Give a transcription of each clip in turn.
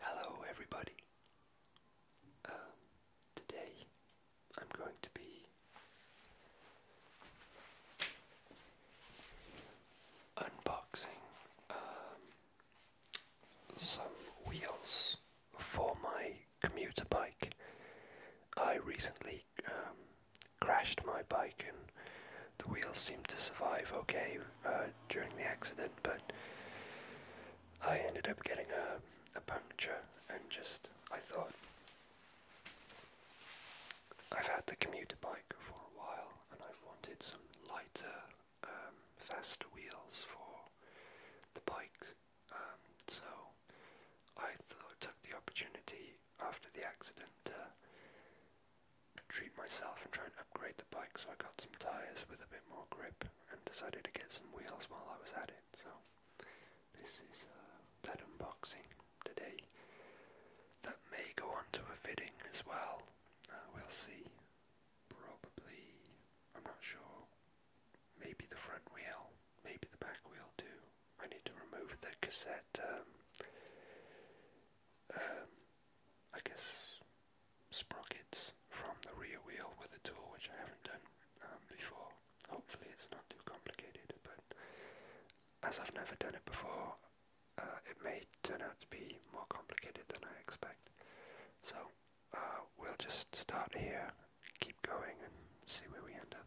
Hello, everybody. Um, today I'm going to be unboxing um, some wheels for my commuter bike. I recently um, crashed my bike and the wheels seemed to survive okay uh, during the accident, but I ended up getting a, puncture and just, I thought, I've had the commuter bike for a while and I've wanted some lighter, um, faster wheels for the bike. Um, so I thought, took the opportunity after the accident to treat myself and try and upgrade the bike, so I got some tires with a bit more grip and decided to get some wheels while I was at it. So this is uh, that unboxing today. That may go on a fitting as well. Uh, we'll see. Probably, I'm not sure. Maybe the front wheel, maybe the back wheel too. I need to remove the cassette. Um, um, I guess sprockets from the rear wheel with a tool, which I haven't done um, before. Hopefully it's not too complicated, but as I've never done it before, uh, it may turn out to be more complicated than I expect. So uh, we'll just start here, keep going, and see where we end up.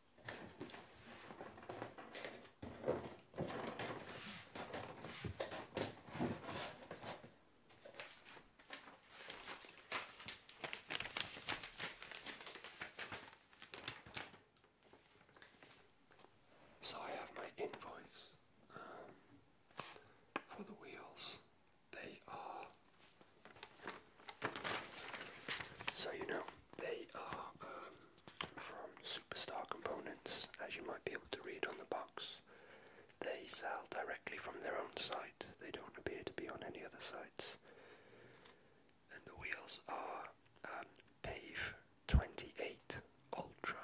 So I have my invoice um, for the wheels. They are so you know they are um, from Superstar Components, as you might be able to read on the box. They sell directly from their own site, they don't appear to be on any other sites. And the wheels are um, Pave 28 Ultra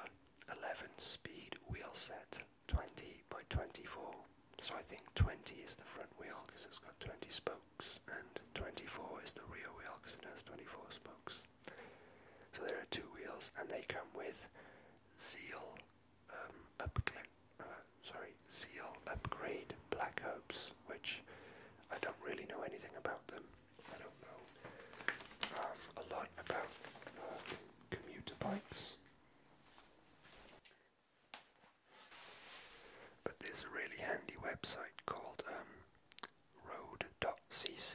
11 speed wheel set 20 by 24. So I think 20 is the front wheel because it's got 20 spokes and 24 is the rear wheel because it has 24 spokes. So there are two wheels, and they come with seal, um, upgrade. Uh, sorry, Zeal upgrade Black Hopes, which I don't really know anything about them. I don't know um, a lot about uh, commuter bikes. But there's a really handy website called um, road.cc,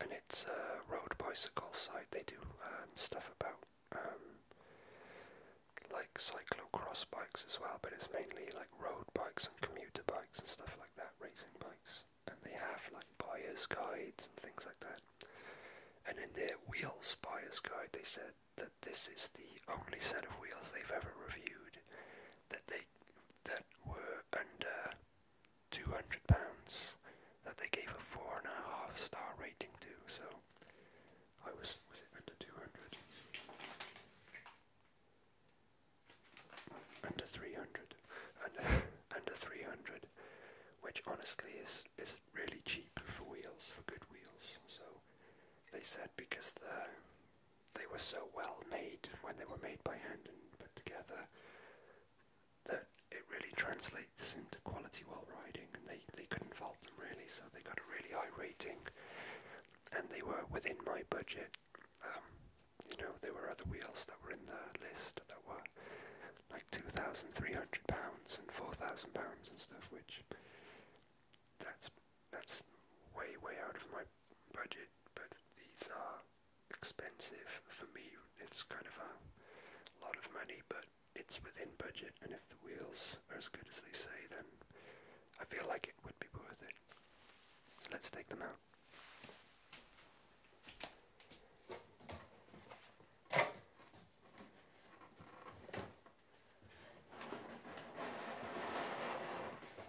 and it's a road bicycle site. They do um, stuff about um, like cyclocross bikes as well, but it's mainly like road bikes and commuter bikes and stuff like that, racing bikes. And they have like bias guides and things like that. And in their wheels bias guide, they said that this is the only set of wheels they've ever reviewed that they that were under two hundred pounds that they gave a four and a half star rating to. So I was was it under two hundred? Under three hundred, under under three hundred, which honestly is is really cheap for wheels for good wheels. So they said because the they were so well made when they were made by hand and put together that it really translates into quality while riding and they, they couldn't fault them really so they got a really high rating and they were within my budget um, you know there were other wheels that were in the list that were like 2,300 pounds and 4,000 pounds and stuff which that's that's way way out of my budget, but these are expensive for me. It's kind of a lot of money, but it's within budget, and if the wheels are as good as they say, then I feel like it would be worth it. So let's take them out.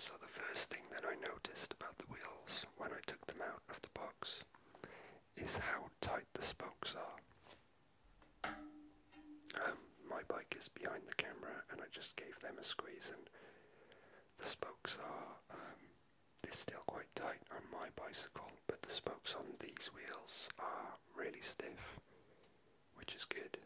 So the first thing that I noticed about the wheels when I took them out of the box is how tight the spokes are. Um, my bike is behind the camera and I just gave them a squeeze and the spokes are, um, still quite tight on my bicycle, but the spokes on these wheels are really stiff, which is good.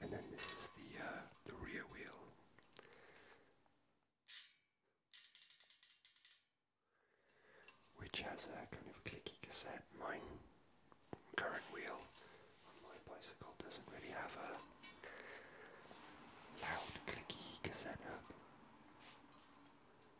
And then this is the uh, the rear wheel. Which has a kind of clicky cassette. Mine current wheel on my bicycle doesn't really have a loud clicky cassette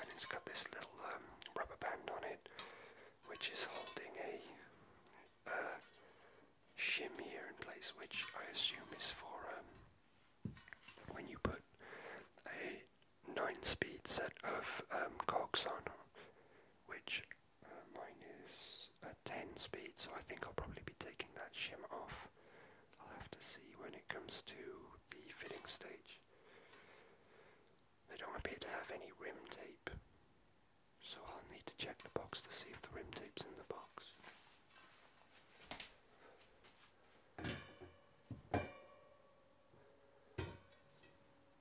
And it's got this little um, rubber band on it, which is holding a, shim here in place, which I assume is for um, when you put a 9 speed set of um, cogs on, which mine is at uh, 10 speed, so I think I'll probably be taking that shim off. I'll have to see when it comes to the fitting stage. They don't appear to have any rim tape, so I'll need to check the box to see if the rim tape's in the box.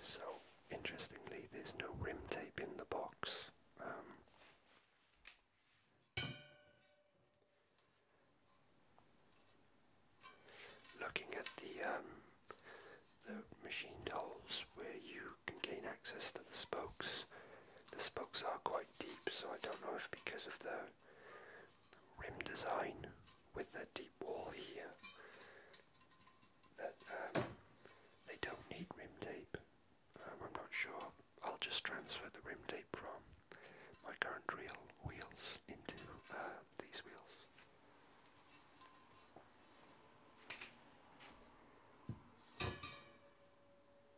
So, interestingly, there's no rim tape in the box. Um, looking at the, um, the machined holes where you can gain access to the spokes, the spokes are quite deep, so I don't know if because of the rim design with the deep wall here that um, they don't need rim tape. Um, I'm not sure. I'll just transfer the rim tape from my current reel wheels into uh, these wheels.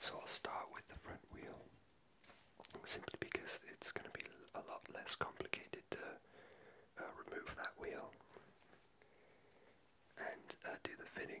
So I'll start with the front wheel, simply because it's going to be a lot less complicated to uh, remove that wheel and uh, do the fitting.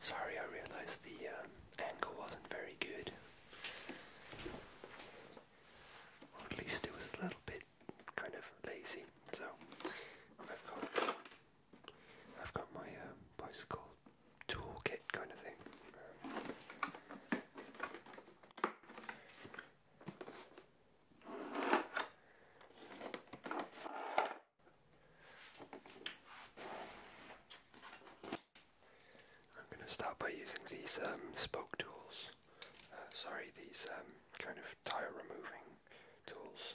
Sorry, I realized the um, angle wasn't very good. Or at least it was a little bit kind of lazy. So I've got I've got my uh, bicycle toolkit kind of thing. I'm going to start by using these um, spoke tools, uh, sorry, these um, kind of tire removing tools.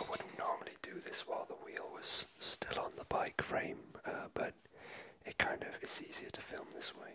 I wouldn't normally do this while the wheel was still on the bike frame, uh, but it kind of is easier to film this way.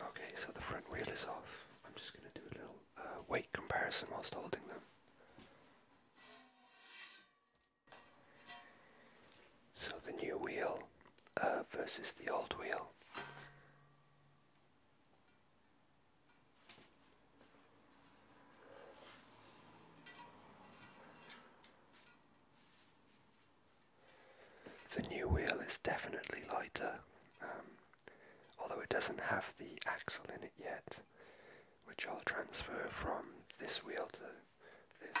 Okay, so the front wheel is off. I'm just going to do a little uh, weight comparison whilst holding them. So the new wheel uh, versus the old wheel. The new wheel is definitely lighter, um, although it doesn't have the axle in it yet, which I'll transfer from this wheel to this.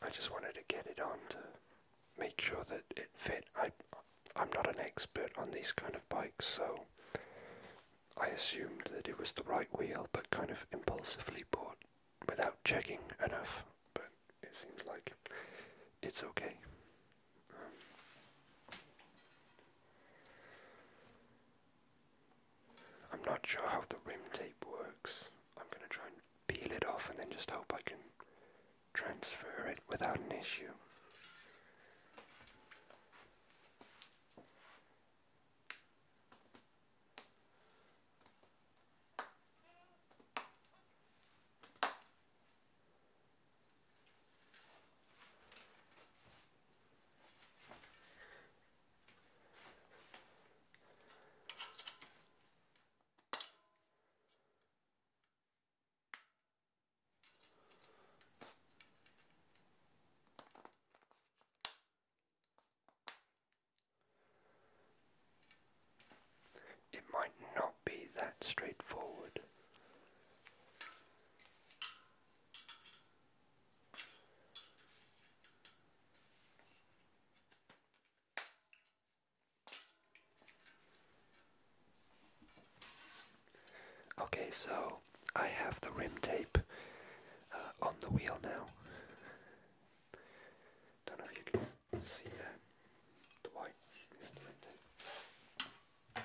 I just wanted to get it on to make sure that it fit. I, I'm not an expert on these kind of bikes, so I assumed that it was the right wheel, but kind of impulsively bought without checking enough. But it seems like it's okay. I'm not sure how the rim tape works. I'm going to try and peel it off and then just hope I can transfer it without an issue. It might not be that straightforward. Okay, so I have the rim tape uh, on the wheel now. Don't know if you can see The white rim tape.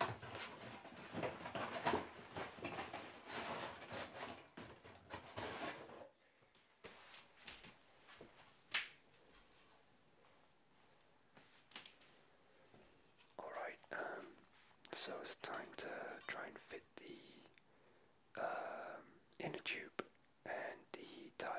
Alright, um, so it's time to try and fit the um, inner tube and the tire.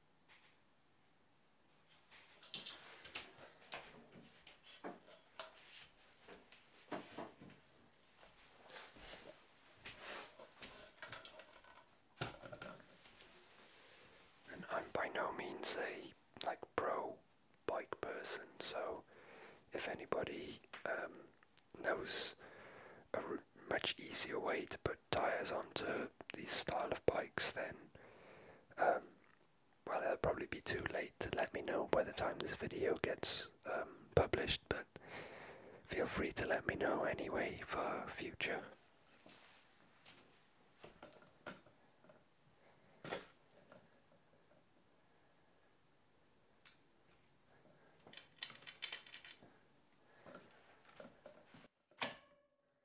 I'm by no means a like pro bike person, so if anybody um, knows a much easier way to put tires onto these style of bikes, then um, well, it'll probably be too late to let me know by the time this video gets um, published, but feel free to let me know anyway for future.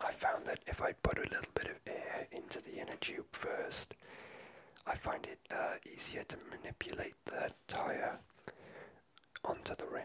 I found that if I put a little bit of air into the inner tube first, I find it uh, easier to manipulate the tire onto the rim.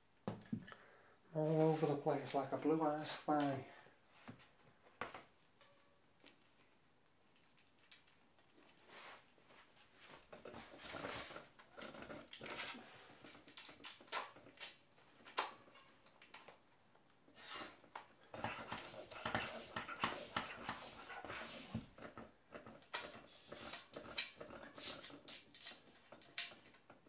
all over the place like a blue-eyed spy.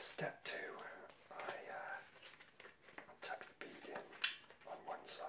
step two, I uh, tuck the bead in on one side.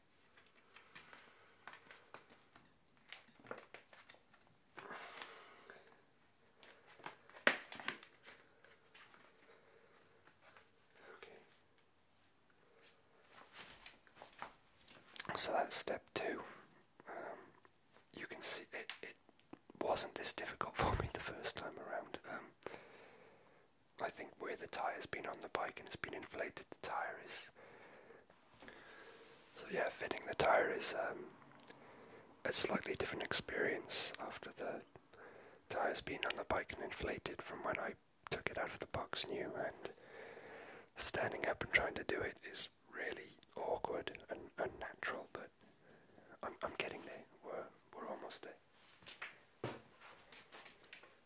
So that's step two. Um, you can see it, it wasn't this difficult for me the first time around. Um, I think where the tire's been on the bike and it's been inflated, the tire is so yeah, fitting the tire is um, a slightly different experience after the tire's been on the bike and inflated from when I took it out of the box new and standing up and trying to do it is really awkward and unnatural but I'm, I'm getting there. We're, we're almost there.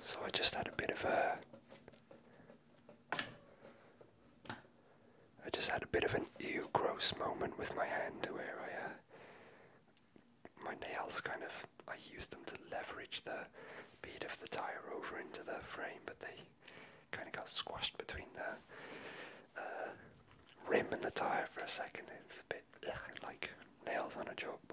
So I just had a bit of a I just had a bit of an ew gross moment with my hand where I uh, my nails kind of I used them to leverage the bead of the tire over into the frame but they kind of got squashed between there. Uh, rim and the tyre for a second. It's a bit like nails on a chalkboard.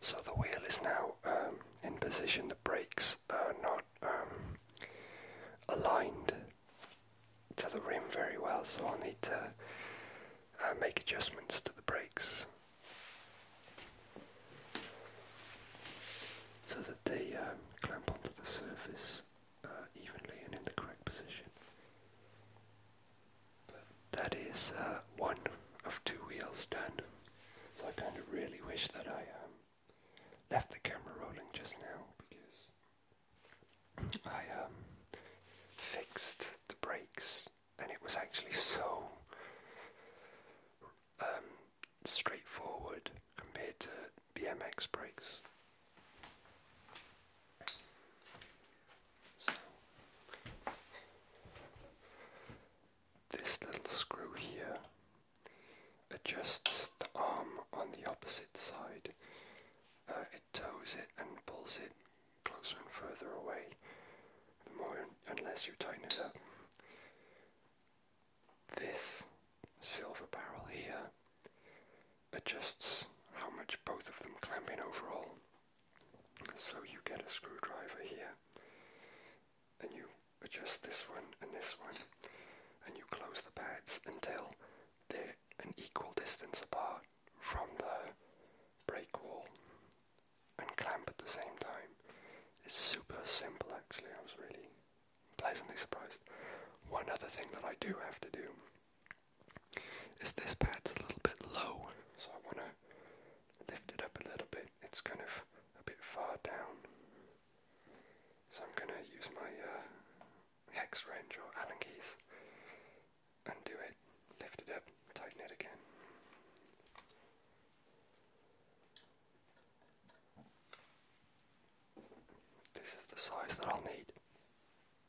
So the wheel is now um, in position, the brakes are not um, aligned to the rim very well, so I'll need to uh, make adjustments to the brakes so that they um, clamp onto the surface uh, evenly and in the correct position. But that is uh, one of two wheels done. So I kind of really wish that I um, left the camera rolling just now because I um, fixed the brakes and it was actually so um, straightforward compared to BMX brakes this little screw here adjusts the arm on the opposite side. Uh, it tows it and pulls it closer and further away, the more unless you tighten it up. This silver barrel here adjusts how much both of them clamp in overall. So you get a screwdriver here, and you adjust this one and this one, and you close the pads until they're an equal distance apart from the brake wall and clamp at the same time. It's super simple actually, I was really pleasantly surprised. One other thing that I do have to do is this pad's a little bit low, so I want to lift it up a little bit. It's kind of a bit far down. So I'm going to use my uh, hex wrench or Allen keys, and do it, lift it up, tighten it again. This is the size that I'll need.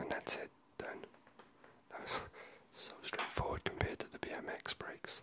And that's it done. That was so straightforward compared to the BMX brakes.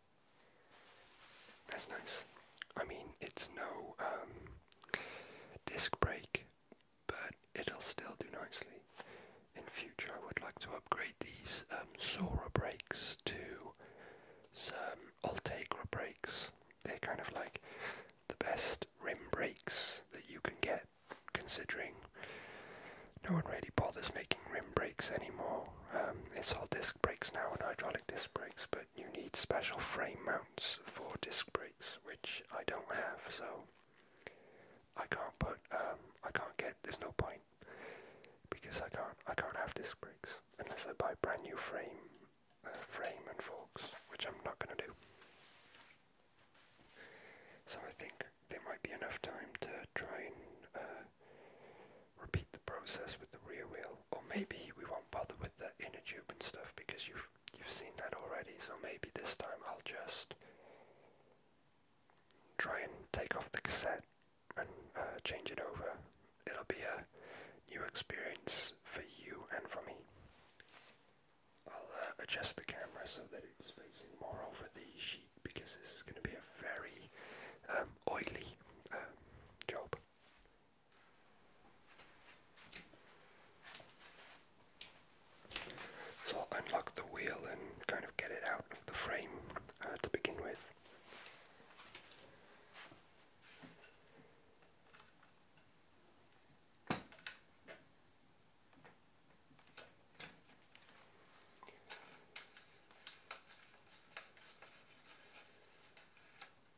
That's nice. I mean, it's no um, disc brake, but it'll still do nicely. In future, I would like to upgrade these um, Sora brakes to some Altegra brakes. They're kind of like the best rim brakes that you can get, considering no one really bothers making rim brakes anymore. Um, it's all disc brakes now and hydraulic disc brakes, but you need special frame mounts for disc brakes, which I don't have, so I can't put, um, I can't get, there's no point, because I can't, I can't have disc brakes, unless I buy brand new frame, uh, frame and forks, which I'm not gonna do. So I think there might be enough time to try and, uh, repeat the process with the rear wheel, or maybe we won't bother with the inner tube and stuff because you've you've seen that already. So maybe this time I'll just try and take off the cassette and uh, change it over. It'll be a new experience for you and for me. I'll uh, adjust the camera so that it's facing more over the sheet because this is going to be a very um, oily um, job. So I'll unlock the wheel and kind of get it out of the frame uh, to begin with.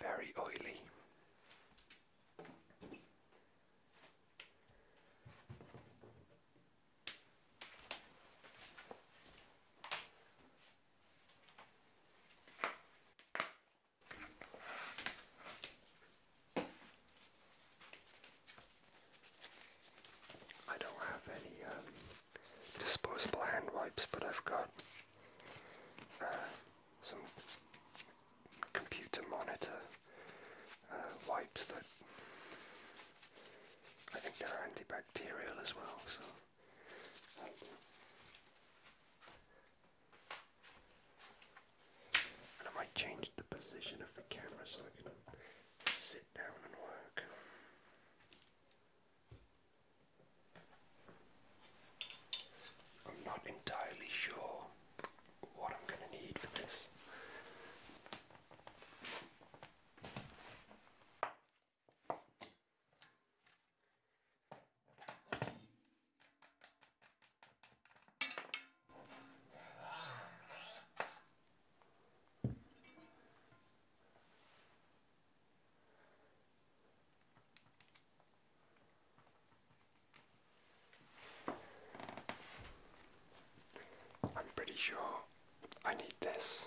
Very oily. I don't have any um, disposable hand wipes, but I've got uh, some computer monitor uh, wipes that I think are antibacterial as well. Um, I might change the position of the camera so I can sit down and work. I'm not entirely sure what I'm going to need for this. I'm pretty sure I need this.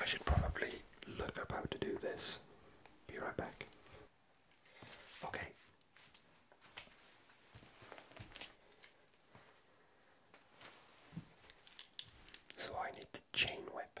I should probably look up how to do this. Be right back. Okay. So I need the chain whip.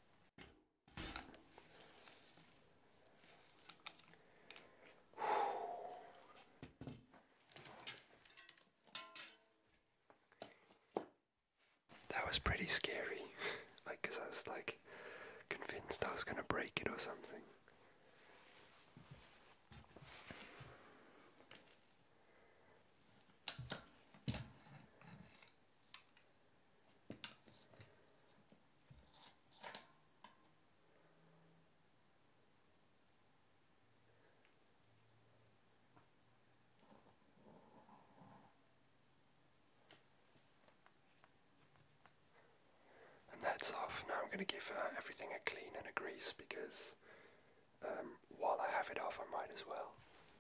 That was pretty scary, like, because I was like convinced I was going to break it or something. And that's off. Now I'm going to give uh, everything a clean and a grease because um, while I have it off, I might as well.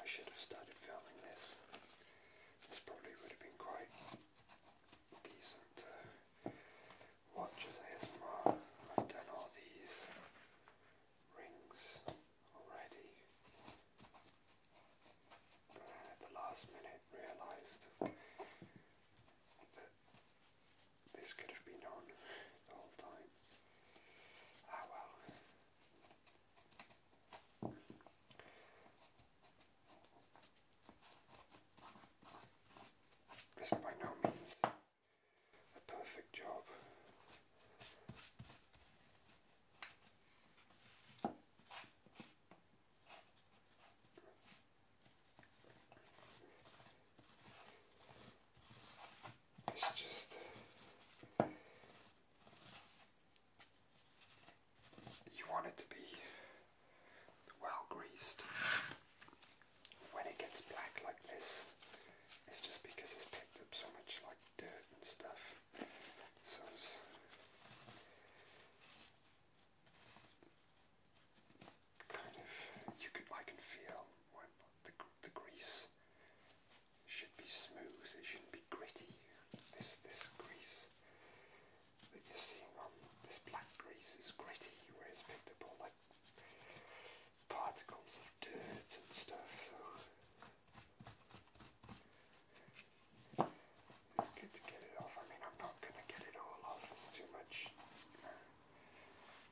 I should have started filming this. This probably would have been quite decent to ASMR. I've done all these rings already. But at the last minute realised this could have been on the whole time. Ah well. This by no means a perfect job. It's just you want it to be well greased. When it gets black like this, it's just because it's picked up so much like dirt and stuff. So kind of you could I can feel when the the grease should be smooth. It shouldn't be gritty. This this grease that you're seeing on this black grease is gritty, where like particles of dirt and stuff. So. It's good to get it off. I mean, I'm not going to get it all off. It's too much.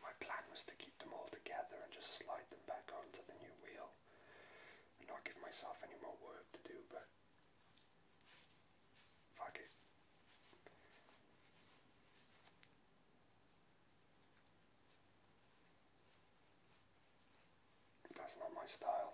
My plan was to keep them all together and just slide them back onto the new wheel and not give myself any more work to do, but fuck it. That's not my style.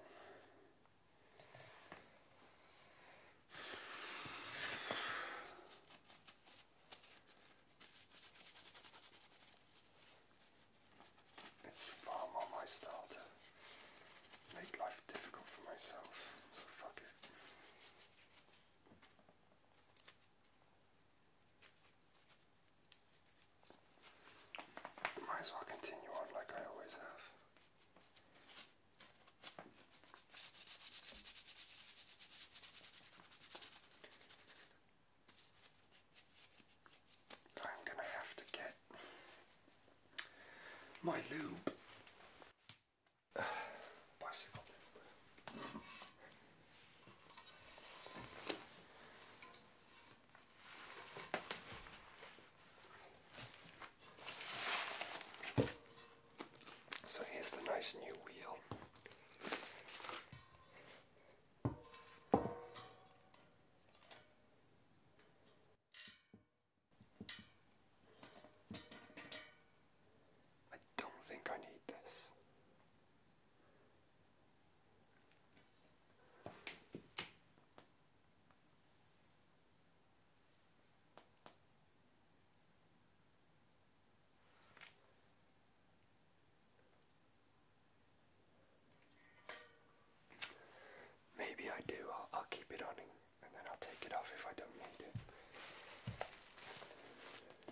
It's far more my style to make life difficult for myself, so fuck it. Might as well continue on like I always have. I'm gonna have to get my lube. So here's the nice new wheel. I don't think I need this. Maybe I do, I'll, keep it on and then I'll take it off if I don't need it.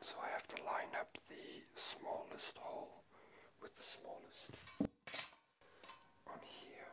So I have to line up the smallest hole with the smallest on here.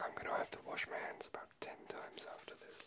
I'm gonna have to wash my hands about 10 times after this.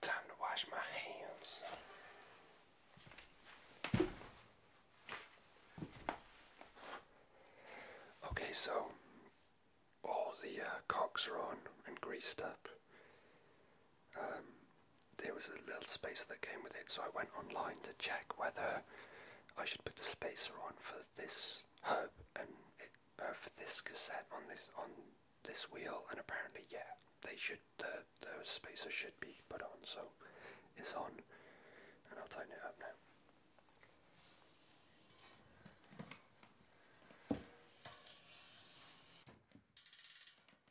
Time to wash my hands. Okay, so all the uh, cocks are on and greased up. Um, there was a little spacer that came with it, so I went online to check whether I should put the spacer on for this herb and uh, for this cassette on this on this wheel, and apparently, yeah, they should the the spacer should be put on, so it's on, and I'll tighten it up now.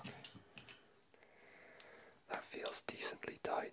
Okay. That feels decently tight.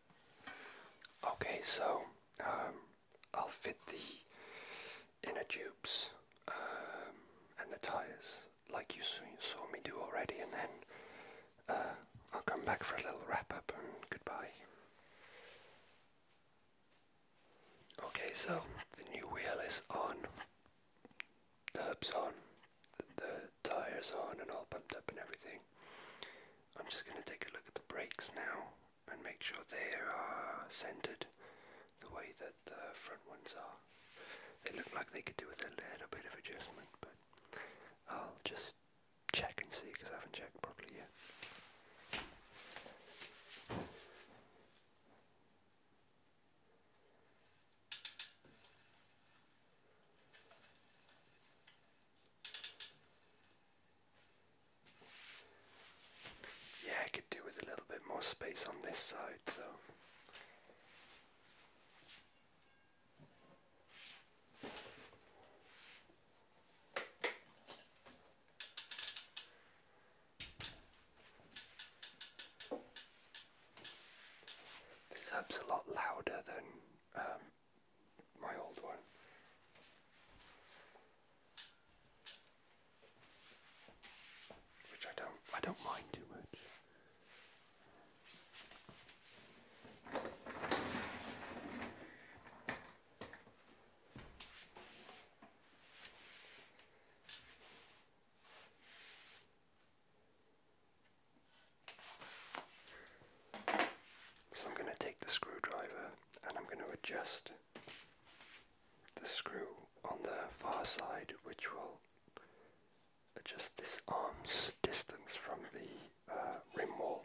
Okay, so um, I'll fit the inner tubes um, and the tires like you saw me do already, and then uh, I'll come back for a little wrap up and goodbye. Okay, so the new wheel is on, the hub's on, the, the tires on, and all pumped up and everything. I'm just going to take a look at the brakes now and make sure they are centered the way that the front ones are. They look like they could do with a little bit of adjustment, but I'll just check and see because I haven't checked properly yet. Yeah, I could do with a little bit more space on this side though. This hub's a lot louder than um, my old one. Which I don't I don't mind too much. So I'm going to take the screwdriver and I'm going to adjust the screw on the far side which will adjust this arm's distance from the uh, rim wall.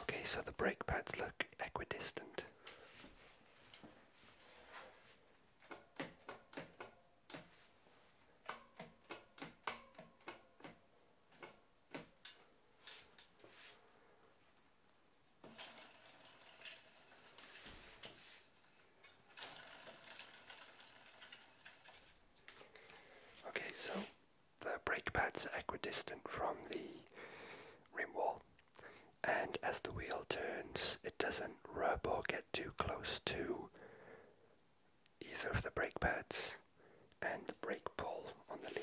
Okay, so the brake pads look equidistant. Okay, so the brake pads are equidistant from the rim wall, and as the wheel turns, it doesn't rub or get too close to either of the brake pads and the brake pull on the lever.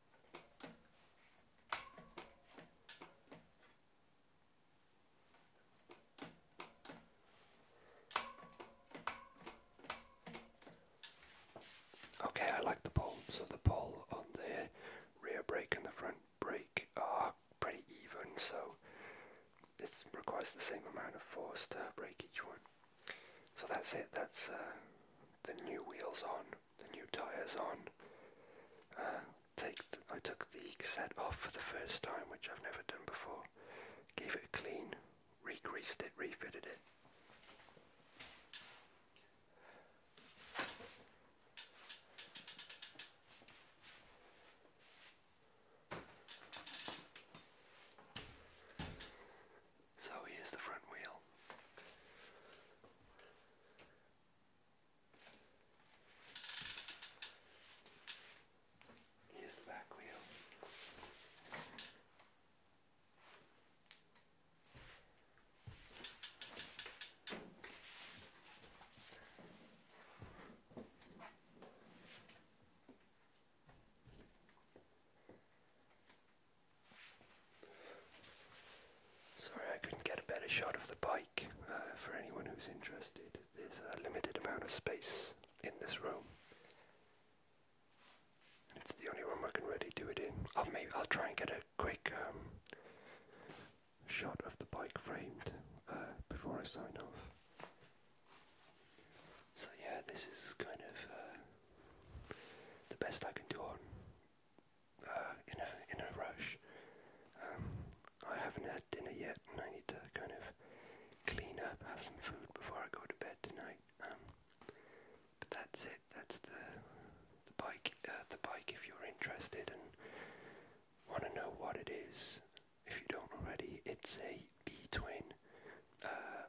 Okay, I like the pole. So the pole on the rear brake and the front brake are pretty even, so it requires the same amount of force to brake each one. So that's it, that's uh, the new wheels on the new tyres on. Uh, take I took the set off for the first time, which I've never done before. Gave it a clean, regreased it, refitted it. So here's the front wheel. Here's the back wheel. Sorry, I couldn't get a better shot of the bike. Uh, for anyone who's interested, there's a limited amount of space in this room. And it's the only room I can really do it in. I'll maybe I'll try and get a quick um, shot of the bike framed uh, before I sign off. So yeah, this is kind of uh, the best I can do on uh, in a in a rush. Um, I haven't had dinner yet, and I need to kind of clean up, have some food before I go to bed tonight. Um, but that's it. That's the the bike. Uh, the bike. If you're interested and want to know what it is, if you don't already, it's a B twin. Uh,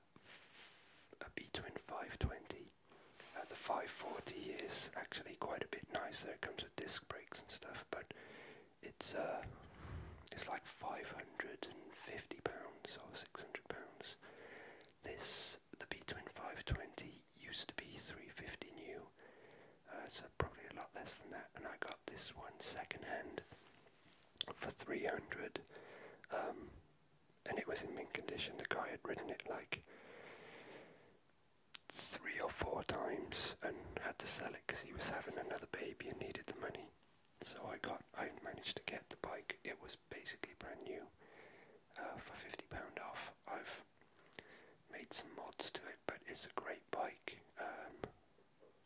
a B twin 520 the 540 is actually quite a bit nicer. It comes with disc brakes and stuff, but it's uh, it's like 550 pounds or 600 pounds. This the B twin 520 used to be 350 new, uh, so probably a lot less than that. And I got this one second hand for 300, um, and it was in mint condition. The guy had ridden it like three or four times and had to sell it because he was having another baby and needed the money. So I got, I managed to get the bike. It was basically brand new uh, for fifty pound off. I've made some mods to it, but it's a great bike um,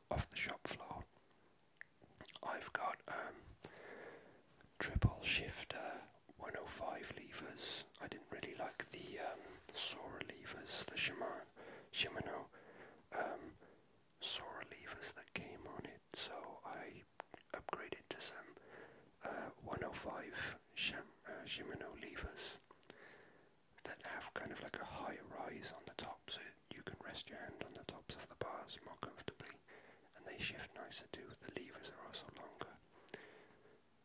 off the shop floor. I've got um, triple shifter 105 levers. I didn't really like the um, Sora levers, the Shimano, Shimano um, Sora levers that came on it, so I upgraded to some uh, 105 Shim, uh, Shimano levers that have kind of like a high rise on the top, so you can rest your hand on the tops of the bars more comfortably, and they shift nicer too. The levers are also longer.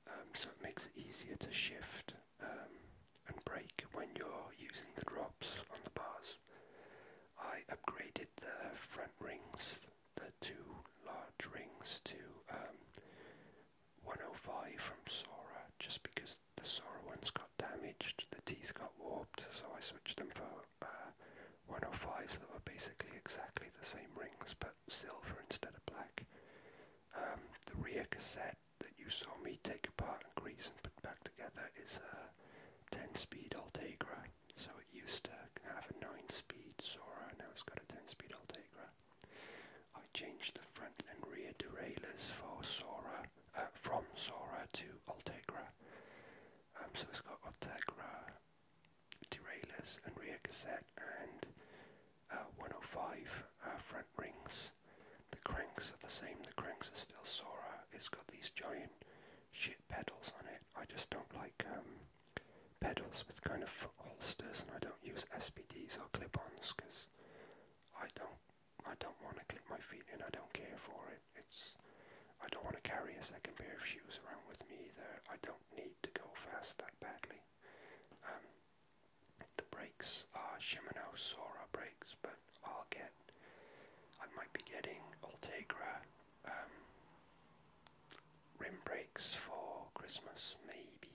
Um, so it makes it easier to shift um, and break when you're using the drops on the bars. I upgraded the front rings, the two large rings, to um, 105 from Sora just because the Sora ones got damaged, the teeth got warped, so I switched them for uh, 105 so they were basically exactly the same rings but silver instead of black. Um, the rear cassette that you saw me take apart and grease and put back together is a 10-speed Altegra. So it used to have a 9-speed Sora, now it's got a 10-speed Altegra. I changed the front and rear derailleurs for Sora, uh, from Sora to Altegra. Um, so it's got Altegra derailleurs and rear cassette and uh, 105 uh, front rings. The cranks are the same, the cranks are still Sora. It's got these giant shit pedals on it. I just don't like um, pedals with kind of holsters and I don't use SPDs or clip-ons because I don't I don't want to clip my feet and I don't care for it. It's I don't want to carry a second pair of shoes around with me either. I don't need to go fast that badly. Um, the brakes are Shimano Sora brakes, but I'll get, I might be getting Altegra um, rim brakes for Christmas, maybe.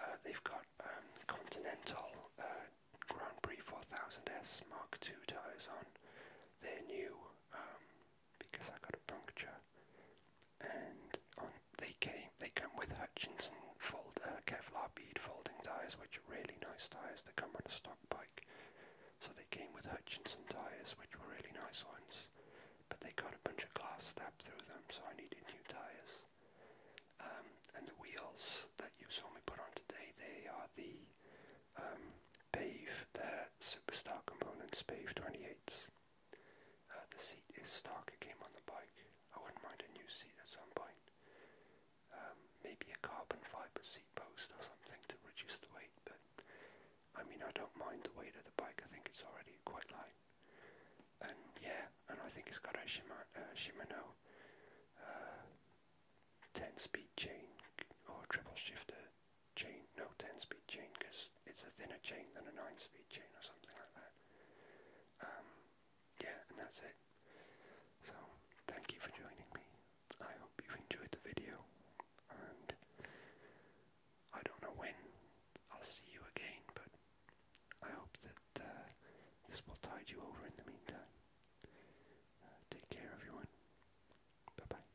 Uh, they've got um, Continental uh, Grand Prix 4000S Mark II tyres on. They're new um, because I got a puncture. And on they came they come with Hutchinson fold uh, Kevlar bead folding tires, which are really nice tires. They come on a stock bike, so they came with Hutchinson tires, which were really nice ones. But they got a bunch of glass stabbed through them, so I needed new tires. Um, and the wheels that you saw me put on today, they are the um, Pave, their Superstar components, Pave 28s. Uh, the seat is stock, it came on the bike. I wouldn't mind a new seat at some point. Um, maybe a carbon fiber seat post or something to reduce the weight, but I mean, I don't mind the weight of the bike, I think it's already quite light. And yeah, and I think it's got a uh, Shimano uh, 10 speed chain or triple shifter chain, no 10 speed chain because it's a thinner chain than a 9 speed chain or something like that. Um, yeah, and that's it. So, thank you for joining me. I hope you enjoyed the video, and I don't know when I'll see you again, but I hope that uh, this will tide you over in the meantime. Uh, take care, everyone. Bye bye.